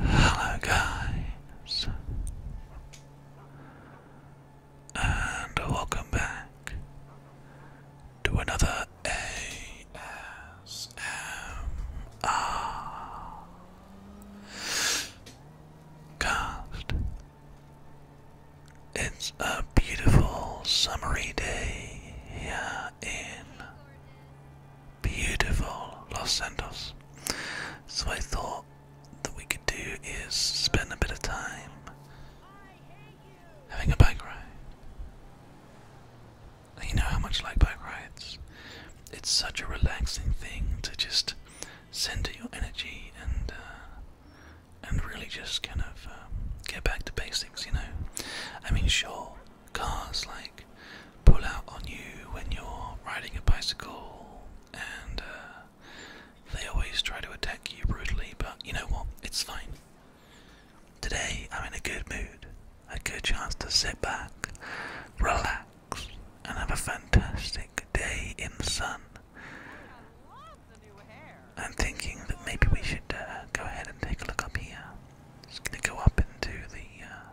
Hello, guys, and welcome back to another ASMR cast. It's a beautiful summery day here in beautiful Los Santos. So I thought that we could do is spend a bit of time having a bike ride you know how much like bike rides. It's such a relaxing thing to just center your energy and uh, and really just kind of um, get back to basics. You know, I mean, sure, cars like pull out on you when you're riding a bicycle, and uh, they always try to attack you brutally. But you know what? It's fine. Today I'm in a good mood, a good chance to sit back, relax, and have a fantastic day in the sun. I'm thinking that maybe we should uh, go ahead and take a look up here. It's going to go up into the, uh,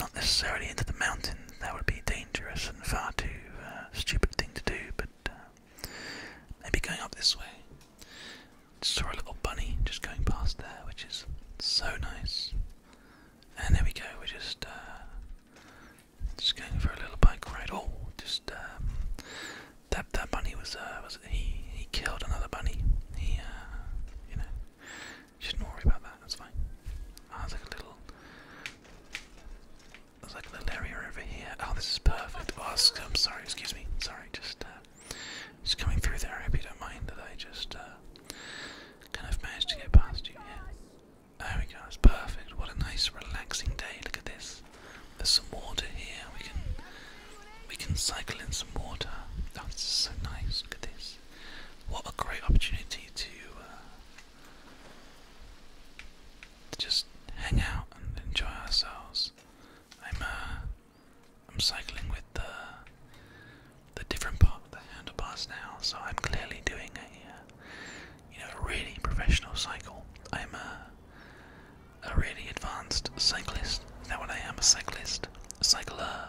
not necessarily into the mountain. That would be dangerous and far too uh, stupid thing to do. But maybe going up this way. Just saw a little bunny just going past there, which is so nice. And there we go. We're just uh, just going for a little bike ride. Oh, just um, that that bunny was uh, was he he killed another bunny. He uh, you know shouldn't worry about that. That's fine. Ah, there's like a little there's like a little area over here. Oh, this is perfect. Oh, I'm sorry. Excuse me. Sorry sorry, just uh, just coming through there. I hope you don't mind that I just uh, kind of managed to get past you. Yeah. There we go. it's perfect. What a nice, relaxing day. Look at this. There's some water here. We can we can cycle in some water. That's this so nice. Look at this. What a great opportunity to, uh, to just hang out and enjoy ourselves. I'm uh, I'm cycling with the the different part of the handlebars now, so I'm clearly doing a uh, you know a really professional cycle. I'm a uh, a really advanced cyclist. Is that what I am? A cyclist, a cycler,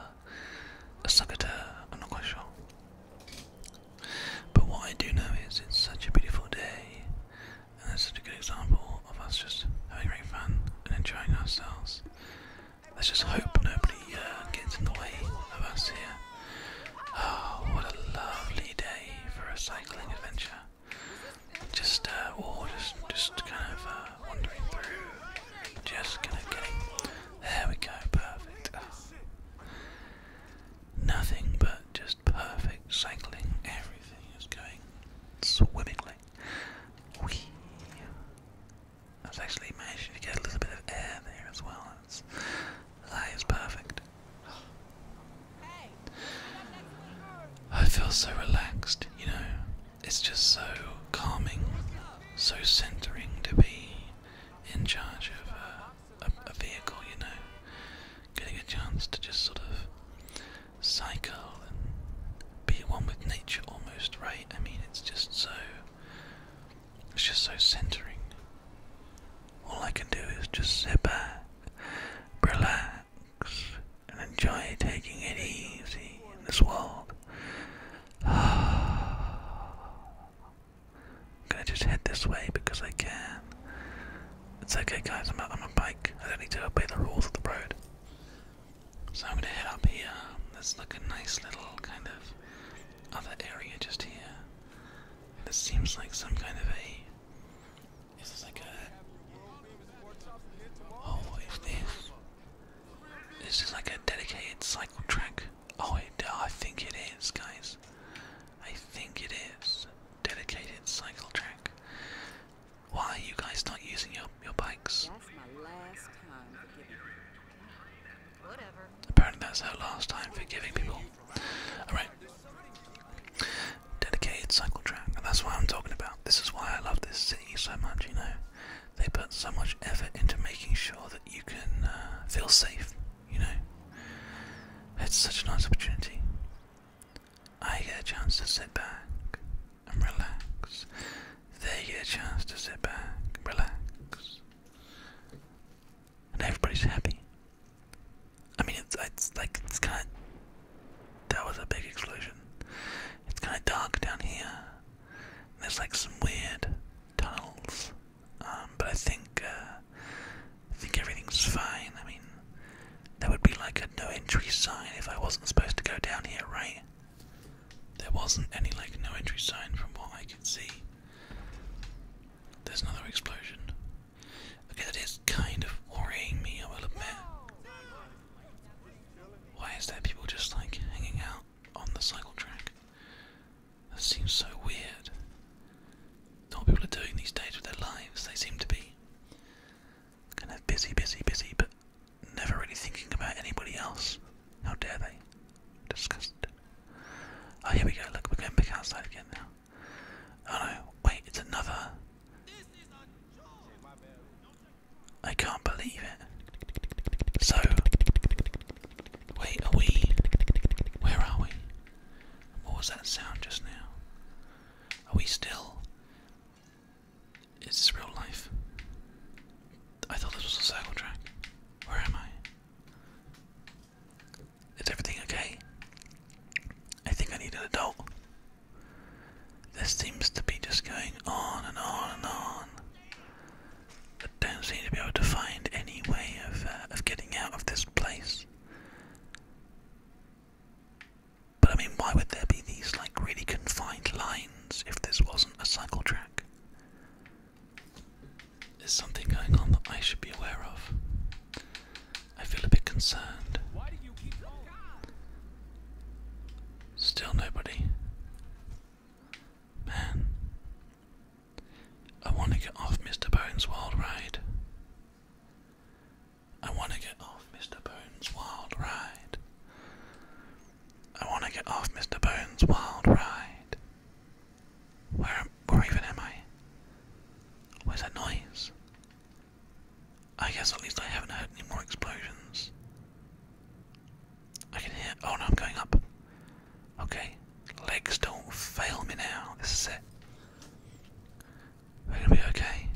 a sucketer. I'm not quite sure. But what I do know is it's such a beautiful day, and that's such a good example of us just having great fun and enjoying ourselves. Let's just hope nobody uh, gets in the way of us here. Oh, what a lovely day for a cycling adventure. Just, uh, just, just kind of uh, wandering through, just kind of getting. There we go, perfect nothing but just perfect cycling. Everything is going swimmingly. Whee. i was actually managed to get a little bit of air there as well. It's, that is perfect. I feel so relaxed, you know. It's just so calming, so centering to be in charge of uh, a, vehicle, you know, getting a chance to just sort of cycle and be one with nature almost, right? I mean, it's just so, it's just so centering. All I can do is just sit back, relax, and enjoy taking it easy in this world. I'm gonna just head this way because I can. It's okay, guys. I'm on a bike. I don't need to obey the rules of the road. So I'm gonna head up here. This There's like a nice little kind of other area just here. This seems like some kind of a. Is like a? Oh, what is this? This is like a dedicated cycle track. Oh, it, I think it is, guys. I think it is. Dedicated cycle track. Why are you guys not using your your bikes? Apparently that's our last time for giving people. Alright. Dedicated cycle track. And that's what I'm talking about. This is why I love this city so much, you know. They put so much effort into making sure that you can uh, feel safe you know. It's such a nice opportunity. I get a chance to sit back and relax. They get a chance to sit back and relax. And everybody's happy. I mean, it's, like, it's kind of. That was a big explosion. It's kind of dark down here. There's like some weird tunnels um, but I think uh, think everything's fine. I mean, that would be like a no entry sign if I wasn't supposed to go down here, right? There wasn't any like no entry sign from what I could see. There's another explosion. Okay, that is kind of worrying me, I will admit. Why is there people just like hanging out on the cycle track? That seems so weird. what people are doing these days with their lives. They seem to be kind of busy, busy, busy, but never really thinking about anybody else. How dare they? Disgusting. Oh, here we go. Look, we're going back outside again now. Oh no, wait, it's another. I can't believe it. So, wait, are we. Where are we? What was that sound just now? Are we still? Is this real life? I thought this was a cycle track. Where am I? Is everything okay? I think I need an adult. This seems to be just going on and on and on don't seem to be able to find any way of, uh, of getting out of this place. But I mean, why would there be these like really confined lines if this wasn't a cycle track? There's something going on that I should be aware of. I feel a bit concerned. Still nobody. Man, I want to get off Mr. Bones' wild ride. I want to get off Mr. Bones' wild ride. I want to get off Mr. Bones' wild ride. Where, where even am I? Where's that noise? I guess at least I haven't heard any more explosions. I can hear. Oh no, I'm going up. Okay? Legs don't fail me now. This is it. We're gonna be okay.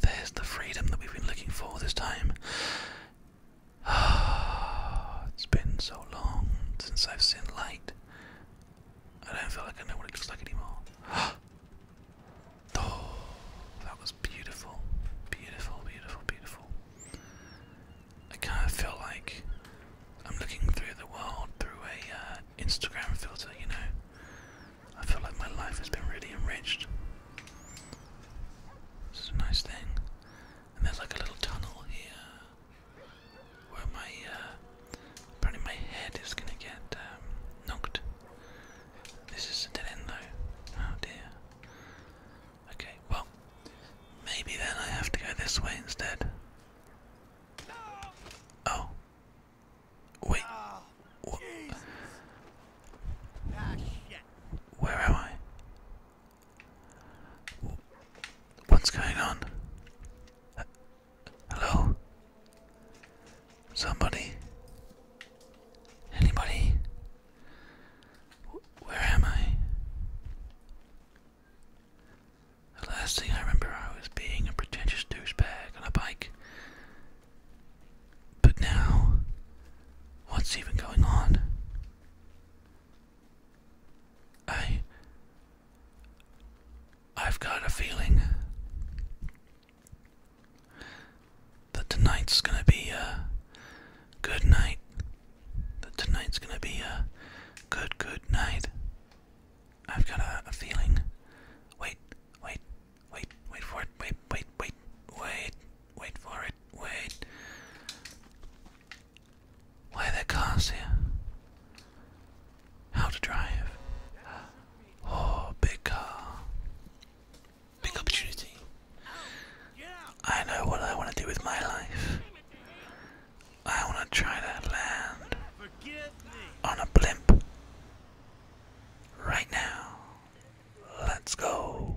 There's the freedom that we've been looking for this time. it's been so long since I've seen light. I don't feel like I know what it looks like anymore. oh, that was beautiful. Beautiful, beautiful, beautiful. I kind of feel like I'm looking through the world through a uh, Instagram filter, you know. I feel like my life has been really enriched. This is a nice thing. And there's like a little tunnel here where my uh, probably my head is gonna get um, knocked. This is a dead end though. Oh dear. Okay, well, maybe then I have to go this way instead. Oh. Wait. Where am I? What's going on? hello? Somebody? Anybody? Where am I? The last thing I remember, I was being a pretentious douchebag on a bike. But now, what's even going on? I. I've got a feeling that tonight's gonna be a good night that tonight's gonna be a good, good night. I've got a, feeling. Wait, wait, wait, wait for it, wait, wait, wait, wait, wait for it, wait. Why are cars here? How to drive. Oh, big car. Big opportunity. I know what I want to do with my life. I want to try to land on a blimp right now. Let's go.